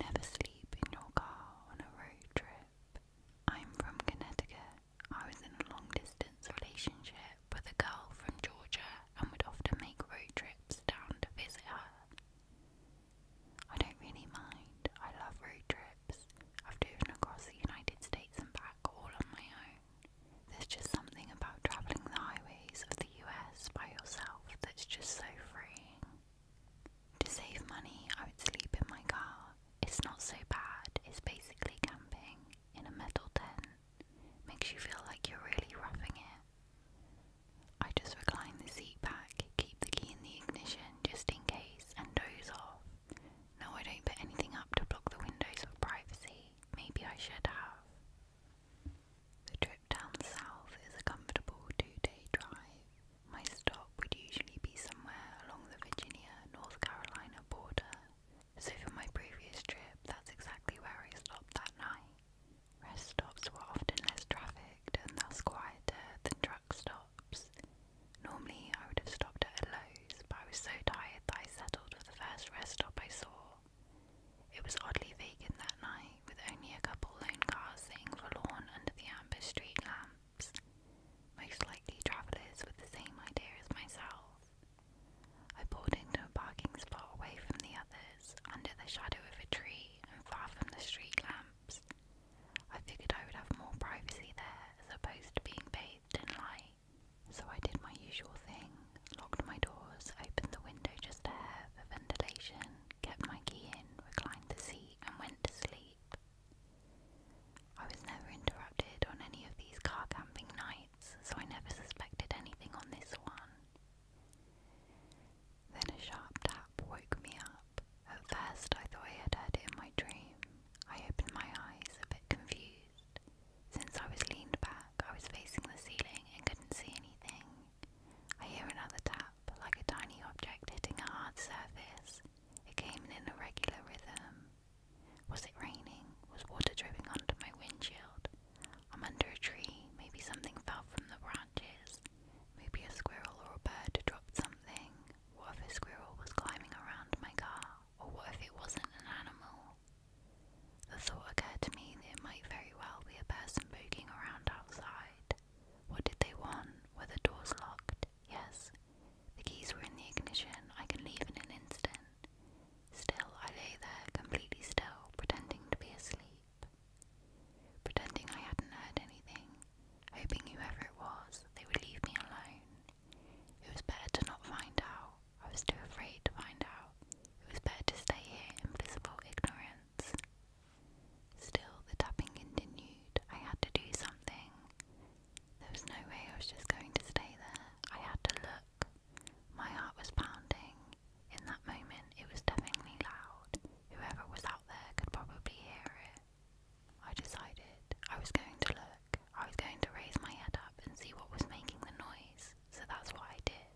Never sleep in your car on a road trip. I'm from Connecticut. I was in a long distance relationship with a girl from Georgia and would often make road trips down to visit her. I don't really mind. I love road trips. I've driven across the United States and back all on my own. There's just something about travelling the highways of the US by yourself that's just so freeing. To save money, I would sleep in my car. It's not so bad, it's basically camping in a metal tent. Makes you feel like you're really roughing it. I just recline the seat back, keep the key in the ignition just in case, and doze off. No, I don't put anything up to block the windows of privacy. Maybe I should have. The trip down the south is a comfortable two day drive. My stop would usually be somewhere along the Virginia North Carolina border, so for my previous trip, that's exactly where I stopped that night. Rest stops were often less trafficked and thus quieter than truck stops. Normally, I would have stopped at a Lowe's, but I was so tired that I settled for the first rest stop I saw. It was oddly vacant that night, with only a couple lone cars sitting forlorn under the amber street lamps. Most likely travellers with the same idea as myself. I pulled into a parking spot away from the others, under the shadow of a tree and far from the street lamps. I figured I would have more privacy there as opposed to being paid bathed in light, so I did my usual thing locked my doors, opened the window just a hair for ventilation, kept my key in, reclined the seat, and went to sleep. I was never interrupted on any of these car camping nights, so I never suspected anything on this one. Then a sharp tap woke me up. At first, I thought I had heard it in my dream. I opened my eyes, a bit confused. Since I was leaned back, I was facing the ceiling and couldn't see anything. I hear another tap, like a tiny object hitting a hard surface. It came in an irregular rhythm. Was it raining? Was water dripping onto my windshield? I'm under a tree. Maybe something fell from the branches. Maybe a squirrel or a bird dropped something. What if a squirrel was climbing around my car? Or what if it wasn't an animal? The thought occurred to me that it might very well be a person poking around outside. What did they want? Were the doors locked? Yes. The keys were in the ignition. I can leave in an instant. Still, I lay there completely still, pretending to be asleep. Pretending I hadn't heard anything, Hoping whoever it was, they would leave me alone. It was better to not find out. I was too afraid to find out. It was better to stay here in blissful ignorance. Still, the tapping continued. I had to do something. There was no way I was just going to stay there. I had to look. My heart was pounding. In that moment, it was deafeningly loud. Whoever was out there could probably hear it. I decided I was going to look, I was going to raise my head up and see what was making the noise, so that's what I did.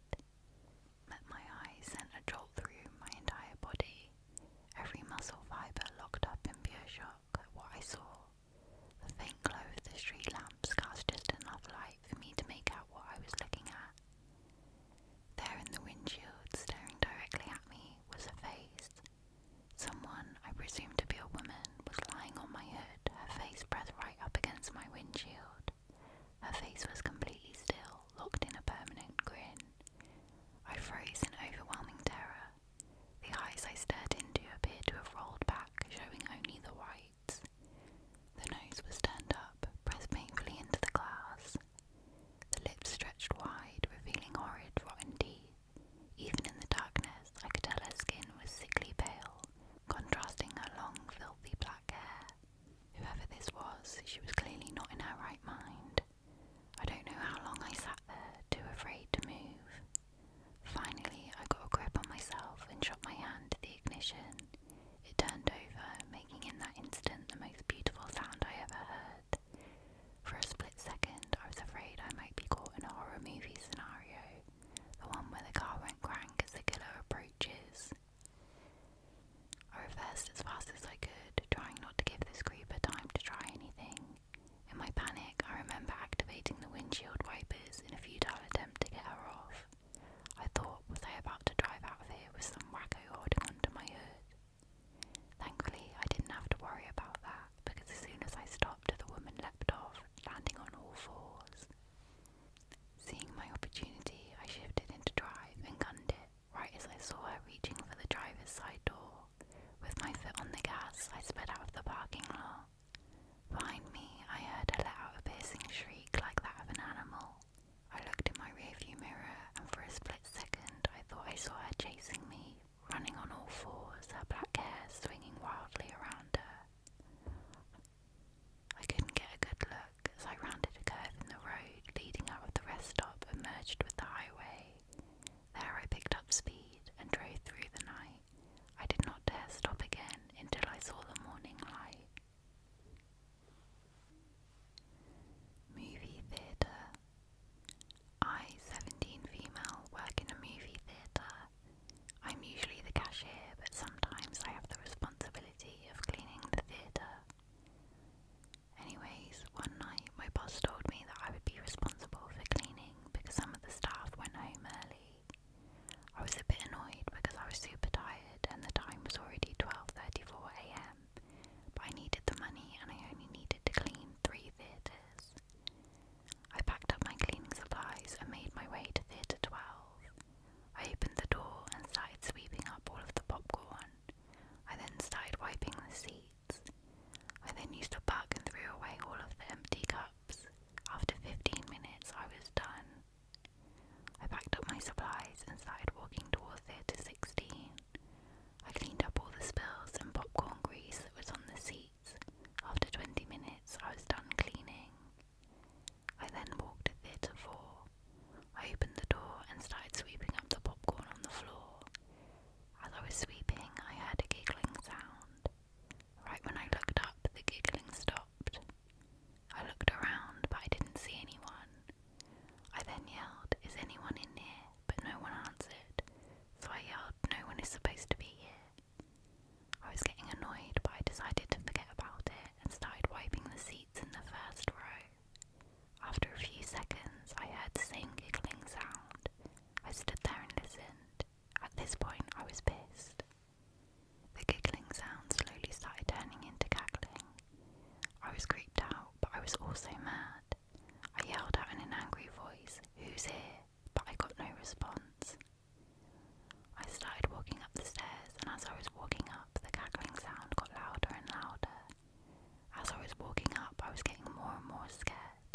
But my eyes sent a jolt through my entire body, every muscle fibre locked up in pure shock at what I saw. The faint glow of the street lamps cast just enough light for me to make out what I was looking at. There in the windshield, staring directly at me, was a face. Someone, I presume to be a woman, was lying on my hood, her face pressed right up against my windshield. Her face was completely still, locked in a permanent grin. I froze in overwhelming terror. The eyes I stared into appeared to have rolled back, showing only the whites. The nose was turned up, pressed painfully into the glass. The lips stretched wide, revealing horrid, rotten teeth. Even in the darkness, I could tell her skin was sickly pale, contrasting her long, filthy black hair. Whoever this was, she was clearly not in her right mind. I don't know how long I sat there, too afraid to move. Finally, I got a grip on myself and shot my hand to the ignition. It turned over, making in that instant the most beautiful sound I ever heard. For a split second, I was afraid I might be caught in a horror movie scenario, the one where the car went crank as the killer approaches. I reversed as fast as I could, trying not to give this creeper time to try anything. In my panic, I remember activating the windshield wipers in a futile attempt to get her off. I thought, was I about to drive out of here with some wacko holding under my hood? Thankfully, I didn't have to worry about that because as soon as I stopped, the woman leapt off, landing on all fours. Seeing my opportunity, I shifted into drive and gunned it right as I saw her reaching for the driver's side door. With my foot on the gas, I sped out of the parking lot. Behind me, I heard her let out a piercing shriek like that of an animal. I looked in my rearview mirror, and for a split second, I thought I saw her chasing me, running on all fours, her black hair swinging wildly around her. I couldn't get a good look as I rounded a curve in the road leading out of the rest stop and merged with the highway. There I picked up speed and drove through the night. I did not dare stop again until I saw the morning light. Movie theatre. I, 17 female, work in a movie theatre. I'm usually the cashier, but sometimes I have the responsibility of cleaning the theatre. Anyways, one night my boss told me that I would be responsible for cleaning because some of the staff went home early. I was a bit annoyed because I was super tired and the time was already 12:34 a.m but I needed the money and I only needed to clean three theatres. I packed up my cleaning supplies and made my way to Theatre 12. I opened the door and started sweeping up all of the popcorn. I then started wiping the seats. I then used a buck and threw away all of the empty cups. After 15 minutes, I was done. I packed up my supplies and started walking towards Theatre 16. I cleaned up all the spills and popcorn grease that was on the seats. After 20 minutes, I was done cleaning. I then walked to Theatre 4. I opened the door and started sweeping up the popcorn on the floor. As I was sweeping, I had a giggling sound. Right when I looked up, the giggling stopped. I looked around, but I didn't see anyone. I then yelled, Is anyone in here? but no one answered, so I yelled, No one is supposed to be here. I was getting annoyed, but I decided to forget about it and started wiping the seats in the first row. After a few seconds, I heard the same giggling sound. I stood there and listened. At this point, I was pissed. The giggling sound slowly started turning into cackling. I was creeped out, but I was also mad. I yelled out in an angry voice, Who's here? But I got no response. I started walking up the stairs, and as I was walking up, the cackling sound got louder and louder. As I was walking up, I was getting more and more scared.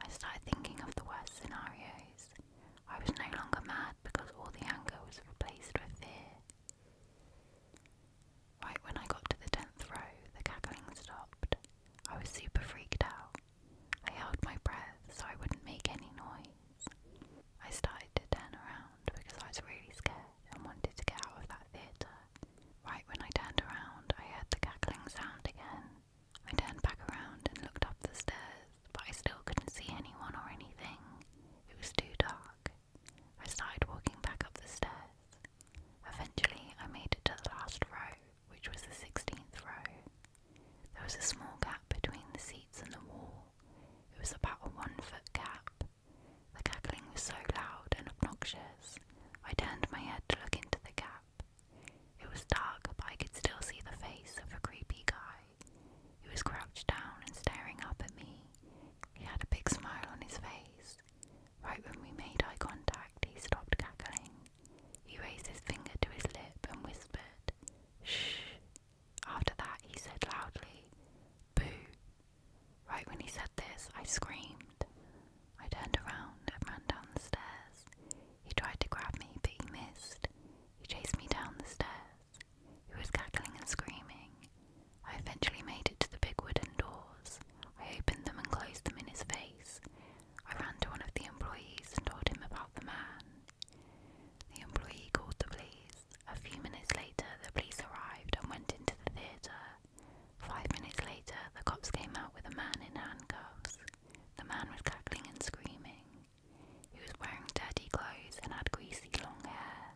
I started thinking of the worst scenarios. I was no longer mad because all the anger was replaced with fear. Right when I got to the tenth row, the cackling stopped. I was super freaked out. I held my breath so I wouldn't make any noise. I started to turn around because I was really scared and wanted to get out of that theatre. Right when I turned around, I heard the cackling sound again. I turned back around and looked up the stairs, but I still couldn't see anyone or anything. It was too dark. I started walking back up the stairs. Eventually, I made it to the last row, which was the 16th row. There was a small gap between the seats and the wall. It was about a one foot gap. The cackling was so loud and obnoxious, I turned my head to look into the gap. It was dark, but I could still see the face of a creepy guy. He was crouched down and staring up at me. He had a big smile on his face. Right when we made eye contact, he stopped cackling. He raised his finger to his lip and whispered, Shh. After that, he said loudly, Boo. Right when he said this, I screamed. I turned around and ran down the stairs. He tried to grab me, but he missed. He chased me down the stairs. He was cackling and screaming. I eventually made it to the big wooden doors. I opened them and closed them in his face. I ran to one of the employees and told him about the man. The employee called the police. A few minutes later, the police arrived and went into the theatre. Five minutes later, the cops came out with a man in handcuffs. The man was cackling and screaming. He was wearing dirty clothes and had greasy long hair.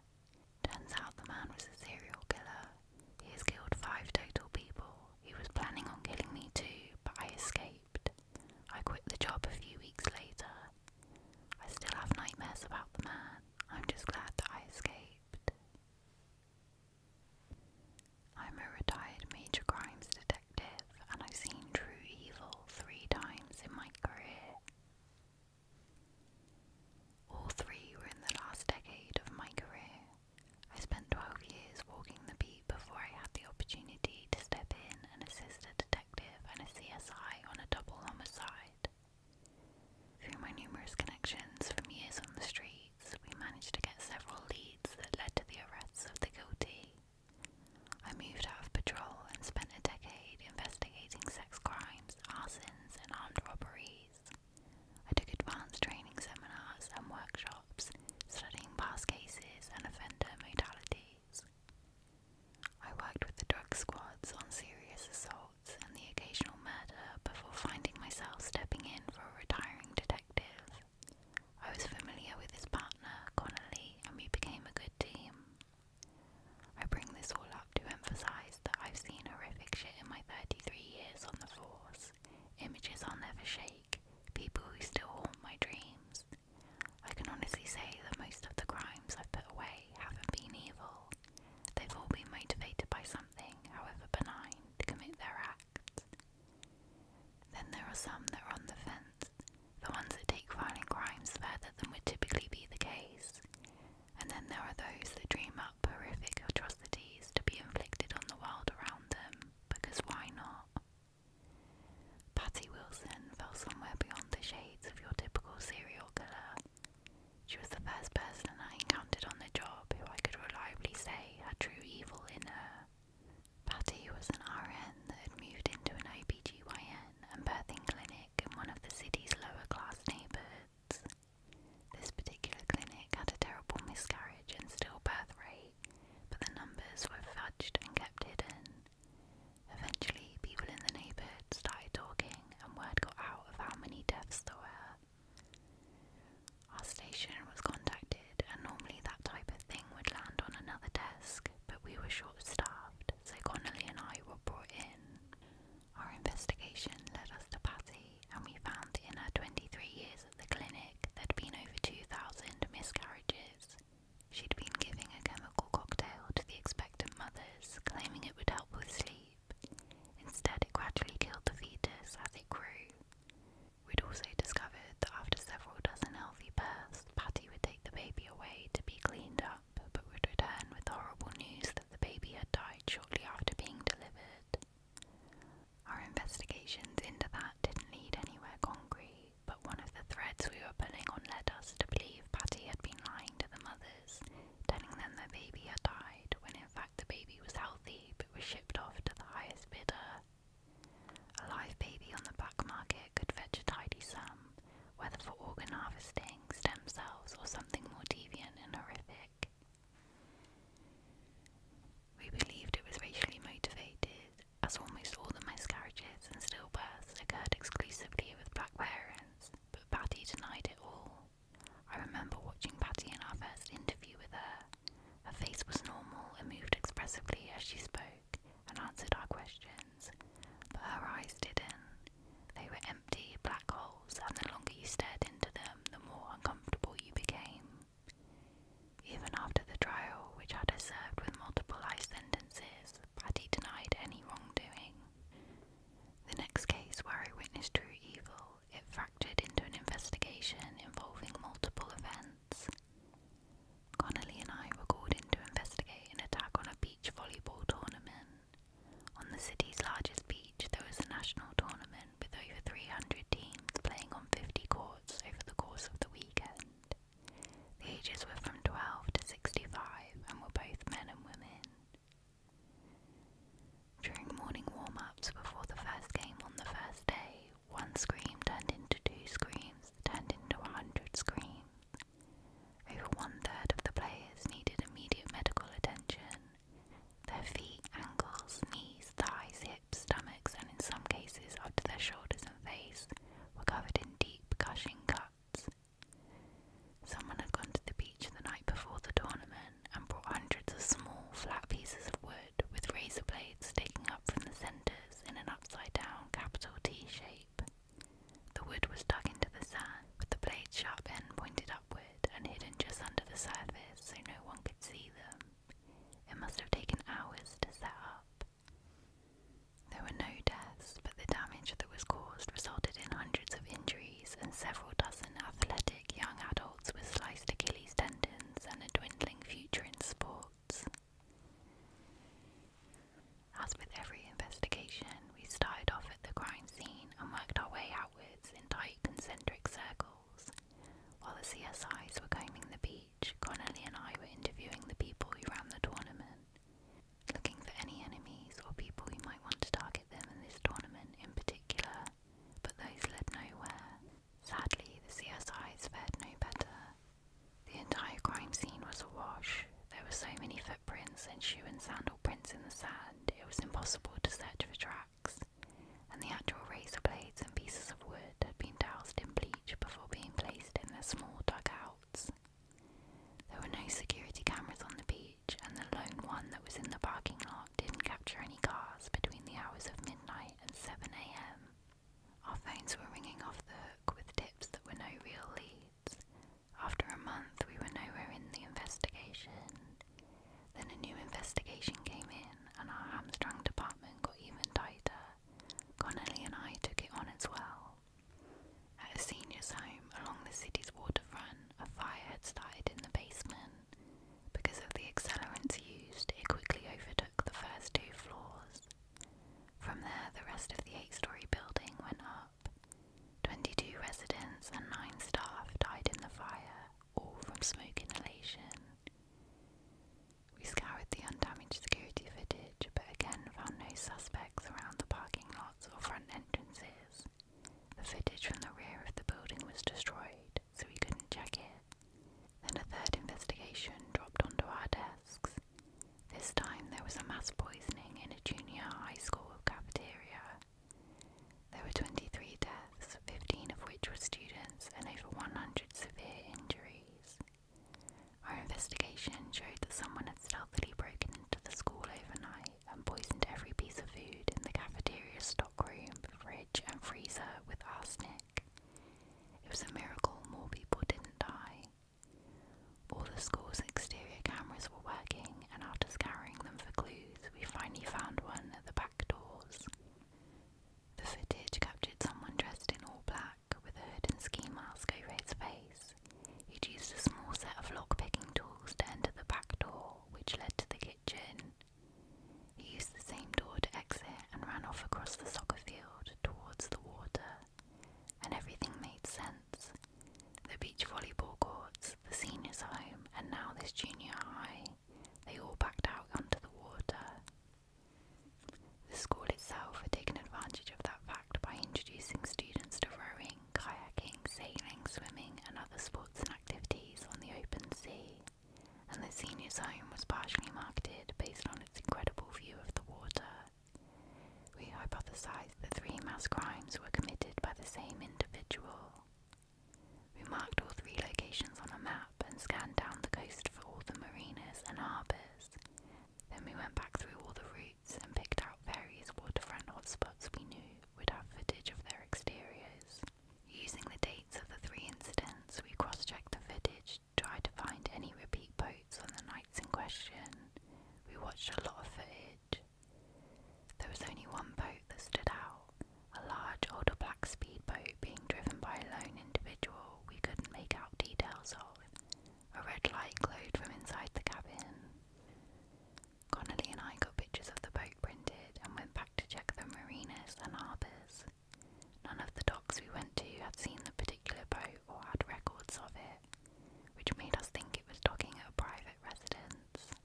Turns out the man was a serial killer. He has killed five total people. He was planning on killing me too, but I escaped. I quit the job a few weeks later. I still have nightmares about the man. I'm just glad that I escaped. I'm a retired major crimes detective, and I've seen true evil three times in my career. All three were in the last decade of my career. I spent 12 years walking the beat before I had the opportunity to step in and assist a detective and a CSI on a double homicide. Through my numerous connections from years on the streets, we managed to get several leads that led to the arrests of the guilty. I moved out of patrol and spent a decade investigating sex crimes, arsons, and armed robberies. I took advanced training seminars and workshops studying past cases and offender modalities. I worked with the drug squads on serious assaults and the occasional murder before finding myself stepping in for a retiring detective. I was familiar with his partner, Connolly, and we became a good team. I bring this all up to emphasise that I've seen horrific shit in my 33 years on the force. Images I'll never shake, people who still haunt my dreams. I can honestly say that most of the crimes I've put away haven't been evil. They've all been motivated by something, however benign, to commit their acts. Then there are some that are on the fence, the ones that take violent crimes further than would typically be the case. And then there are those that dream up horrific atrocities to be inflicted on the world around them, because why not? Patty Wilson fell somewhere beyond the shades of your typical serial killer. She was the first person I encountered on the job who I could reliably say had true evil in her. Patty was an RN that had moved into an OBGYN and birthing clinic in one of the city's lower class neighbourhoods. This particular clinic had a terrible miscarriage and stillbirth rate, but the numbers were fudged and kept hidden. Eventually, people in the neighbourhood started talking, and word got out of how many deaths there were. Our station was contacted, and normally that type of thing would land on another desk, but we were short staffed, so Connolly and I were brought in. Our investigation led us to Patty, and we found in her 23 years at the clinic there'd been over 2,000 miscarriages. She'd been giving a chemical cocktail to the expectant mothers, claiming it would help with sleep. Instead, it gradually killed the fetus as it grew. We'd also discovered that after several dozen healthy births, Patty would take the baby away to be cleaned up, but would return with horrible news the baby had died shortly after being delivered. Our investigations into that didn't lead anywhere concrete, but one of the threads we were pulling on led us to believe Patty had been lying to the mothers, telling them their baby had died, when in fact the baby was healthy but was shipped off to the highest bidder. A live baby on the black market could fetch a tidy sum, whether for organ harvesting, stem cells, or something more deviant and horrific. We believed it was racially motivated, as almost all the miscarriages and stillbirths occurred exclusively with black parents, but Patty denied it all. I remember watching Patty in our first interview with her. Her face was normal and moved expressively as she spoke and answered our questions, but her eyes didn't. They were empty black holes, and the longer you stared into them, the more uncomfortable you became. Even after the trial, which had her served with multiple life sentences, Patty denied any wrongdoing. The next case where I witnessed true evil, it fractured into an investigation involving multiple events. Connolly and I were called in to investigate an attack on a beach volleyball tournament. On the city's largest beach, there was a national tournament with over 300 teams playing on 50 courts over the course of the weekend. The ages were from 12 to 65 and were both men and women. During morning warm ups before the first game on the first day, one scream turned into two screams, turned into hundred screams. Over one third of the players needed immediate medical attention. Their feet, ankles, knees, thighs, hips, stomachs, and in some cases up to their shoulders and face were covered in deep, gushing cuts. Someone had gone to the beach the night before the tournament and brought hundreds of small, flat pieces of wood with razor blades sticking up from the centres in an upside down capital T shape. The wood was dug into the sand, with the blade's sharp end pointed upward and hidden just under the surface so no one could see them. It must have taken hours to set up. There were no deaths, but the damage that was caused resulted in hundreds of injuries, and several dozen athletic young adults with sliced Achilles tendons and a dwindling future in sports. As with every investigation, we started off the crime scene and worked our way outwards in tight concentric circles. While the CSIs were combing the beach, Connolly and I were interviewing the people who ran the tournament, looking for any enemies or people who might want to target them in this tournament in particular, but those led nowhere. Sadly, the CSIs fared no better. The entire crime scene was awash, there were so many footprints and shoe and sandal prints in the sand, it was impossible to search for tracks, and the actual razor blades and pieces of wood had been doused in bleach before being placed in their small dugouts. There were no security cameras on the beach, and the lone one that was in the parking lot didn't capture any cars between the hours of midnight and 7am. Our phones were ringing off the hook with tips that were no real leads. After a month, we were nowhere in the investigation. Then a new investigation came in, and our hamstrung department got even tighter. Connelly and I took it on as well. At a senior's home along the city's waterfront, a fire had started in the basement. Because of the accelerants used, it quickly overtook the first two floors. From there, the rest of the eight story building went up. 22 residents and 9 staff died in the fire, all from smoke inhalation. We scoured the undamaged security footage but again found no suspects around the parking lots or front entrances. The footage from the rear of the building was destroyed, so we couldn't check it. Then a third investigation dropped onto our desks. This time there was a mass poisoning in a junior high school cafeteria. There were 23 deaths, 15 of which were students, and over 100 severe injuries. Our investigation showed that someone had stealthily broken into the school overnight and poisoned every piece of food in the cafeteria stockroom, fridge, and freezer with arsenic. It was a miracle more people didn't die. All the school's exterior cameras were working, and after scouring them for clues, we finally found one at the back doors. The footage captured someone dressed in all black with a hood and ski mask over his face. He'd used a small set of lock picking tools to enter the back door, which led to the kitchen. He used the same door to exit and ran off across the soccer field towards the water, and everything made sense. The beach volleyball courts, the seniors' home, and now this junior high, they all backed out onto the water. The school itself had taken advantage of that fact by introducing students to rowing, kayaking, sailing, swimming, and other sports and activities on the open sea, and the seniors' home was partially marketed based on its incredible view of the water. We hypothesised that three mass crimes were committed by the same individual. We marked all three locations on a map and scanned down the coast for all the marinas and harbours. Then we went back through all the routes and picked out various waterfront hotspots we knew would have footage of their exteriors. Using the dates of the three incidents, we cross checked the footage, tried to find any repeat boats on the nights in question. We watched a lot of footage there was only one boat that stood out, a large older black speedboat being driven by a lone individual we couldn't make out details of. A red light glowed from inside the cabin. Connolly and I got pictures of the boat printed and went back to check the marinas and harbours. None of the docks we went to had seen the particular boat, or had records of it, which made us think it was dogging at a private residence.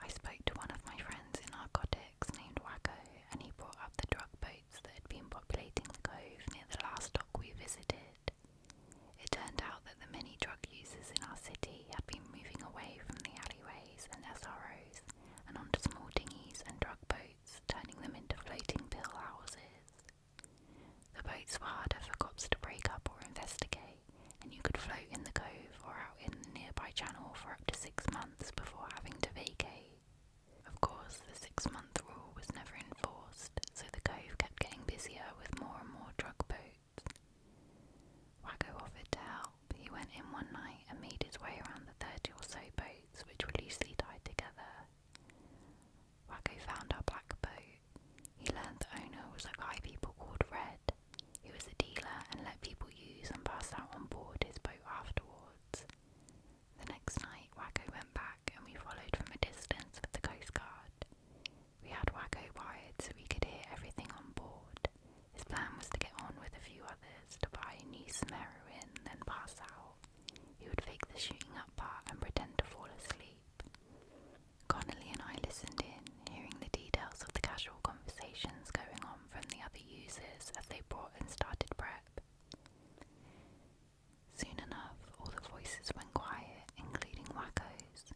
I spoke to one of my friends in narcotics named Waco, and he brought up the drug boats that had been populating the cove near the last dock we visited. It turned out that the many drug users in our city had been moving away from the alleyways and SROs and onto small dinghies and drug boats, turning them into floating pill houses. The boats were harder for cops to break up or investigate, and you could float in the cove or out in the nearby channel for up to six months before having to vacate. Of course, the six month rule was never enforced, so the cove kept getting busier with more and more drug boats. Wacko offered to help. He went in one night and made his way around the 30 or so boats, which were loosely tied together. Wacko found our black boat he learned the owner was a guy people called Red, who was a dealer and let people use and pass out on board his boat afterwards. The next night, Wacko went back and we followed from a distance with the Coast Guard. We had Wacko wired so we could hear everything on board. His plan was to get on with a few others to buy new some heroin, then pass out. He would fake the shooting up part and pretend to fall asleep. Connolly and I listened in, hearing the details of the casual conversations going on from the other users as they brought and started prep. Soon enough, all the voices went quiet, including Wacko's.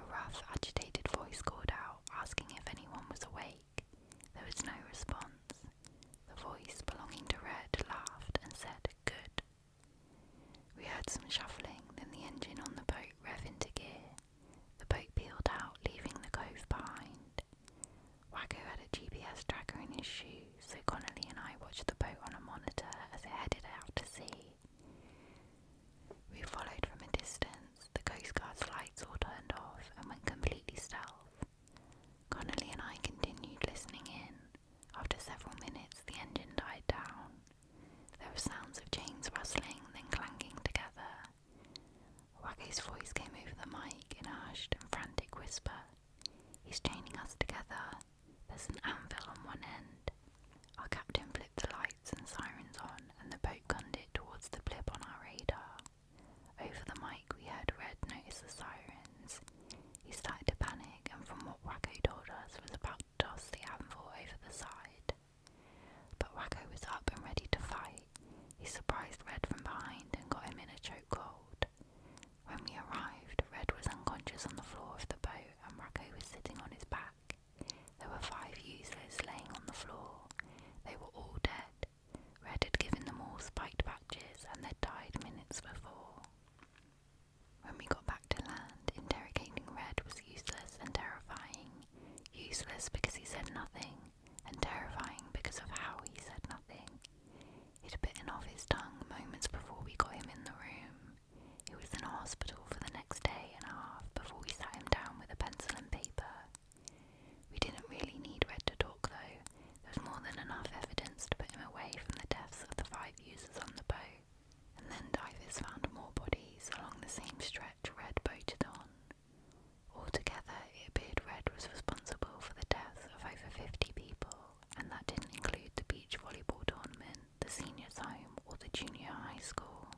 A rough, agitated voice called out, asking if anyone was awake. There was no response. The voice belonging to Red laughed and said, Good, we heard some shuffling, then the engine on the boat rev into gear. The boat peeled out, leaving the cove behind. Waco had a GPS tracker in his shoe, so Connolly and I watched the boat on a monitor as it headed out to sea. We followed from a distance, the Coast Guard's lights all turned off and went completely stealth. Connolly and I continued listening in, after several minutes, the engine died down. There were sounds of chains rustling, then clanking together. Waggo's voice came over the mic in a hushed and frantic whisper. He's chaining us together. There's an anvil on one end. Our captain flipped the lights and sirens on, and the boat gunned it towards the blip on our radar. Over the mic, we heard Red notice the sirens. He started to panic and from what Wacko told us was about to toss the anvil over the side. But Wacko was up and ready to fight. He surprised Red from behind and got him in a chokehold. When we arrived, Red was unconscious on the floor of the boat and Wacko was sitting on his back. There were five users laying on the floor. They were all dead. Red had given them all spiked patches and they'd died minutes before. When we got back to land, interrogating Red was useless and terrifying. Useless because he said nothing, and terrifying because of how he said nothing. He'd bitten off his tongue moments before we got him in the room. He was in a hospital for the next day and a half before we sat him down with a pencil and paper. We didn't really need Red to talk though. There was more than enough evidence to put him away from the deaths of the five users on the boat and then divers found more bodies along the same stretch Red boated on. Altogether, it appeared Red was responsible for the death of over 50 people, and that didn't include the beach volleyball tournament, the seniors' home, or the junior high school.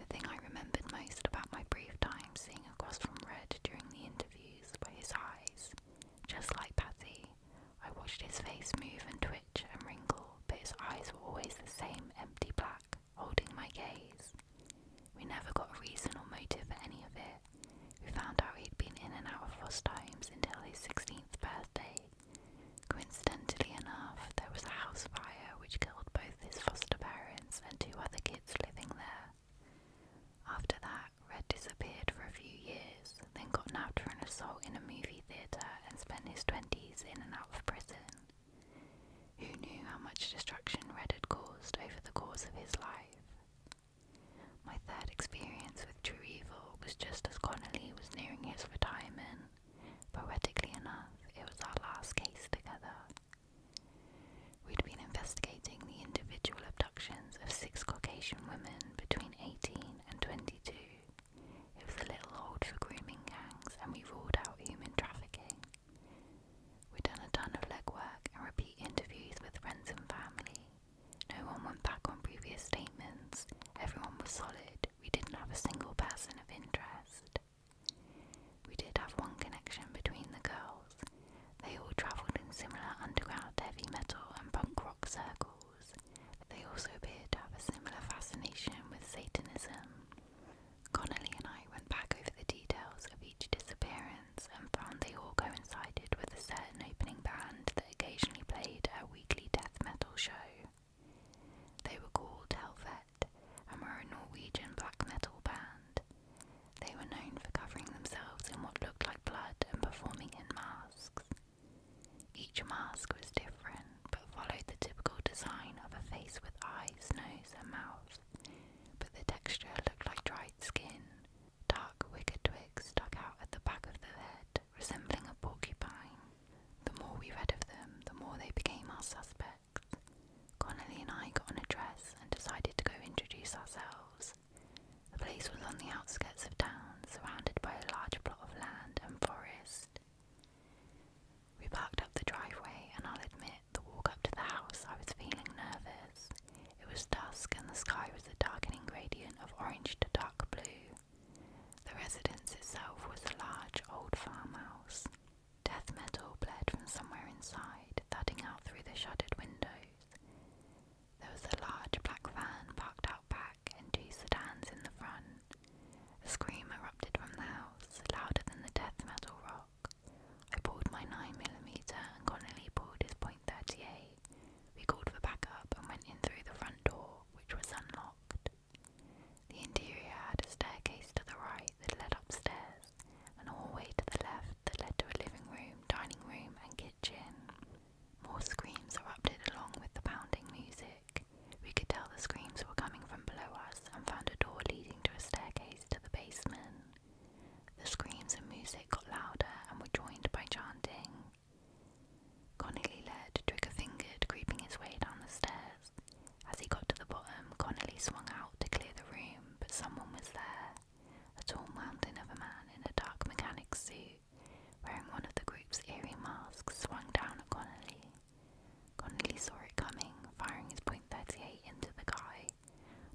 The thing I remembered most about my brief time seeing across from Red during the interviews were his eyes, just like Patty, I watched his face move and twitch and wrinkle, but his eyes were always the same empty black, holding my gaze. We never got a reason or motive for any of it. We found out he'd been in and out of foster homes until his 16th birthday. Coincidentally enough, there was a house fire which killed both his foster parents and two other kids living there. After that, Red disappeared for a few years, then got nabbed for an assault in a movie theatre and spent his 20s in and out of prison. Who knew how much destruction Red had caused over the course of his life? My third experience with True Evil was just as Connolly was nearing his retirement. Poetically enough, it was our last case together. We'd been investigating the individual abductions of six Caucasian women between 18 and 22. It was a little old for grooming gangs, and we ruled out human trafficking. We'd done a ton of legwork and repeat interviews with friends and family. No one went back on previous statements, everyone was solid, we didn't have a single person of interest. We did have one connection between the girls. They all travelled in similar underground heavy metal and punk rock circles. They also appeared to have a similar fascination with Satanism. Connolly and I went back over the details of each disappearance and found they all coincided with a certain opening band that occasionally played a weekly death metal show. They were called Helvet and were a Norwegian black metal band. They were known for covering themselves in what looked like blood and performing in masks. Each mask was different but followed the typical design of a face with eyes, nose, and mouth, but the texture looked like dried skin. Dark wicker twigs stuck out at the back of the head, resembling a porcupine. The more we read of them, the more they became our suspects. Connolly and I got on a dress and decided to go introduce ourselves. The place was on the outskirts of town, surrounded by a large plot of land and forest. We parked up the driveway, and I'll admit, the walk up to the house, I was feeling nervous. It was dusk, and the sky was a darkening gradient of orange to dark blue. The residence itself was a large old farmhouse. Death metal bled from somewhere inside, thudding out through the shuttered windows. There was a large black van parked out back and two sedans in the front. A scream erupted from the house, louder than the death metal rock. I pulled my 9 millimeter, and Connolly pulled his .38. We called for backup and went in through the front door, which was unlocked. The interior had a staircase to the right that led upstairs, and a hallway to the left that led to a living room, dining room, and kitchen. More screams erupted along with the pounding music. We could tell the screams were coming from below us and found a door leading to a staircase to the basement. The screams and music got louder and were joined by chanting. Connolly led, trigger fingered, creeping his way down the stairs. As he got to the bottom, Connolly swung out to clear the room, but someone was there. A tall mountain of a man in a dark mechanic suit wearing one of the group's eerie masks, swung down at Connolly. Connolly saw it coming, firing his thirty eight into the guy.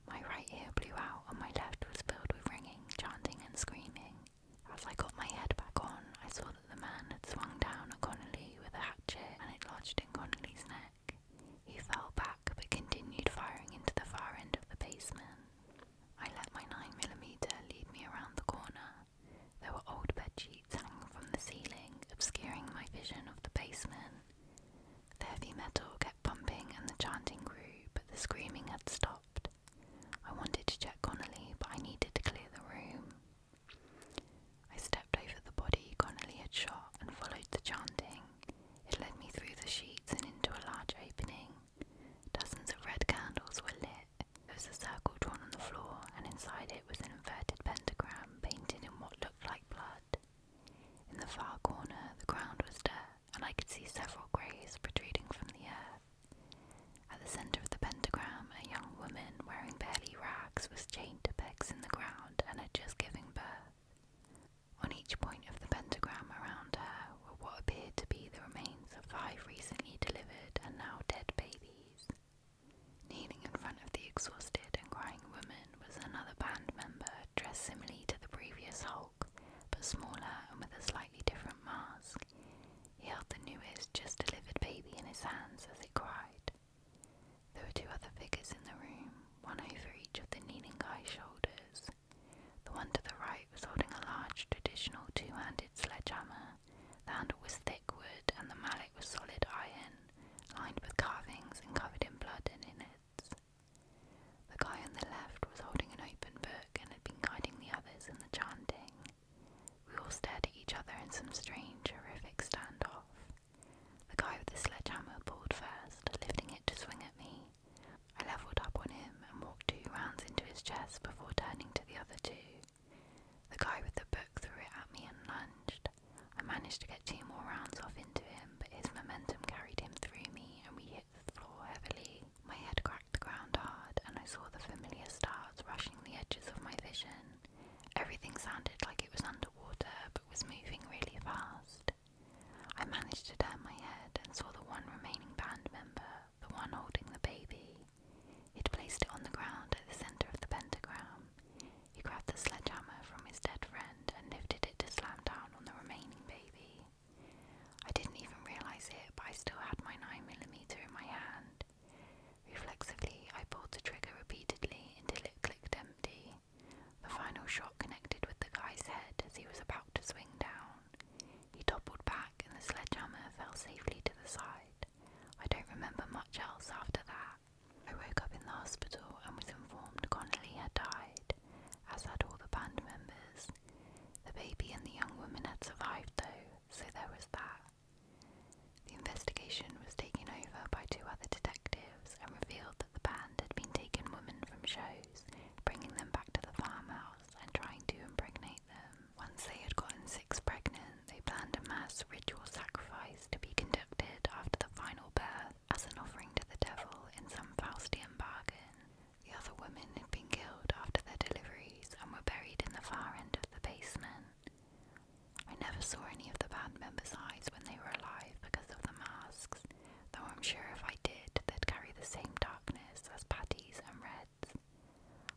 My right ear blew out and my left was filled with ringing, chanting and screaming. As I got my head back on, I saw that the man had swung down at Connolly with a hatchet and it lodged in Connolly's neck. He fell back but continued firing into the far end of the basement. I let my 9mm lead me around the corner. There were old sheets hanging from the ceiling, obscuring my vision of the basement. The heavy metal kept pumping and the chanting grew, but the screaming had stopped. I wanted to check Connolly, but I needed to clear the room. I stepped over the body Connolly had shot and followed the chanting. It led me through the sheets and into a large opening. Dozens of red candles were lit. There was a circle drawn on the floor, and inside it was an inverted pentagram painted in what looked like blood. In the far corner, the ground was dirt, and I could see several graves protruding from the earth. At the centre of the pentagram, a young woman wearing barely rags was chained to pegs in the ground and had just given birth. On each point of the pentagram around her were what appeared to be the remains of five recently delivered and now dead babies. Kneeling in front of the exhausted and crying woman was another band member dressed similarly to the previous Hulk, but smaller and with a slightly different mask. He held the newest, just delivered baby in his hands as he cried. There were two other figures in the room, one over each of the kneeling guy's shoulders, the one to the right was holding a large traditional two-handed sledgehammer. The handle was thick wood and the mallet was solid iron, lined with carvings and covered in blood and innards. The guy on the left was holding an open book and had been guiding the others in the chanting. We all stared at each other in some strange, horrific standoff. The guy with the sledgehammer pulled first, lifting it to swing at me. I levelled up on him and walked two rounds into his chest before turning to the other two. The guy with the book threw it at me and lunged. I managed to get two more rounds off into him, but his momentum carried him through me and we hit the floor heavily. My head cracked the ground hard, and I saw the familiar stars rushing the edges of my vision. Everything sounded like it was underwater, but was moving really fast. I managed to turn my head and saw the one remaining band member, the one holding the baby. He'd placed it on the ground at the centre of the pentagram. He grabbed the sledgehammer from his dead friend and lifted it to slam down on the remaining baby. I didn't even realise it, but I still had my 9mm in my hand. Reflexively, I pulled the trigger repeatedly until it clicked empty. The final shot connected with the guy's head as he was about to swing down. He toppled back and the sledgehammer fell safely to the side. I don't remember much else after that. I woke up in the hospital and was informed Connolly had died, as had all the band members. The baby and the young woman had survived though, so there was that. The investigation was taken over by two other detectives and revealed the band had been taking women from shows, bringing them back to the farmhouse and trying to impregnate them. Once they had gotten six pregnant, they planned a mass ritual sacrifice to be conducted after the final birth as an offering to the devil in some Faustian bargain. The other women had been killed after their deliveries and were buried in the far end of the basement. I never saw any of the band members' eyes when they were alive because of the masks, though I'm sure if I did, they'd carry the same darkness as Patties and Red's.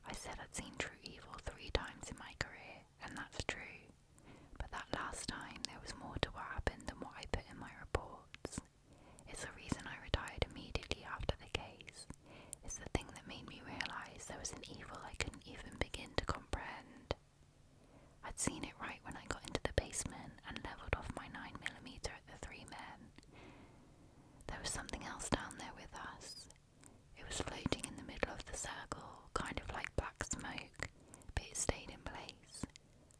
I said I'd seen true evil three times in my career, and that's true, but that last time there was more to what happened than what I put in my reports. It's the reason I retired immediately after the case. It's the thing that made me realise there was an evil I couldn't even begin to comprehend. I'd seen it right when I got into the basement and levelled off my 9mm at the three men. There was something else down there with us. It was floating in the middle of the circle, kind of like black smoke, but it stayed in place,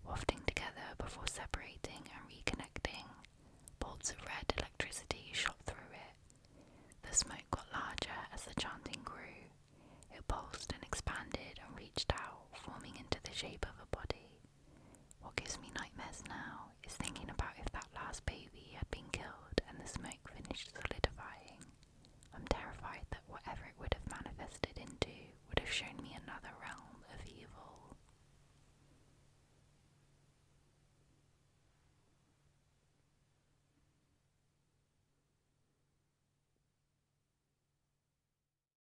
wafting together before separating and reconnecting. Bolts of red electricity shot through it. The smoke got larger as the chanting grew. It pulsed and expanded and reached out, forming into the shape of a body. What gives me nightmares now is thinking about if that last baby had been killed and the smoke finished solidifying. I'm terrified that whatever it would have manifested into would have shown me another realm of evil.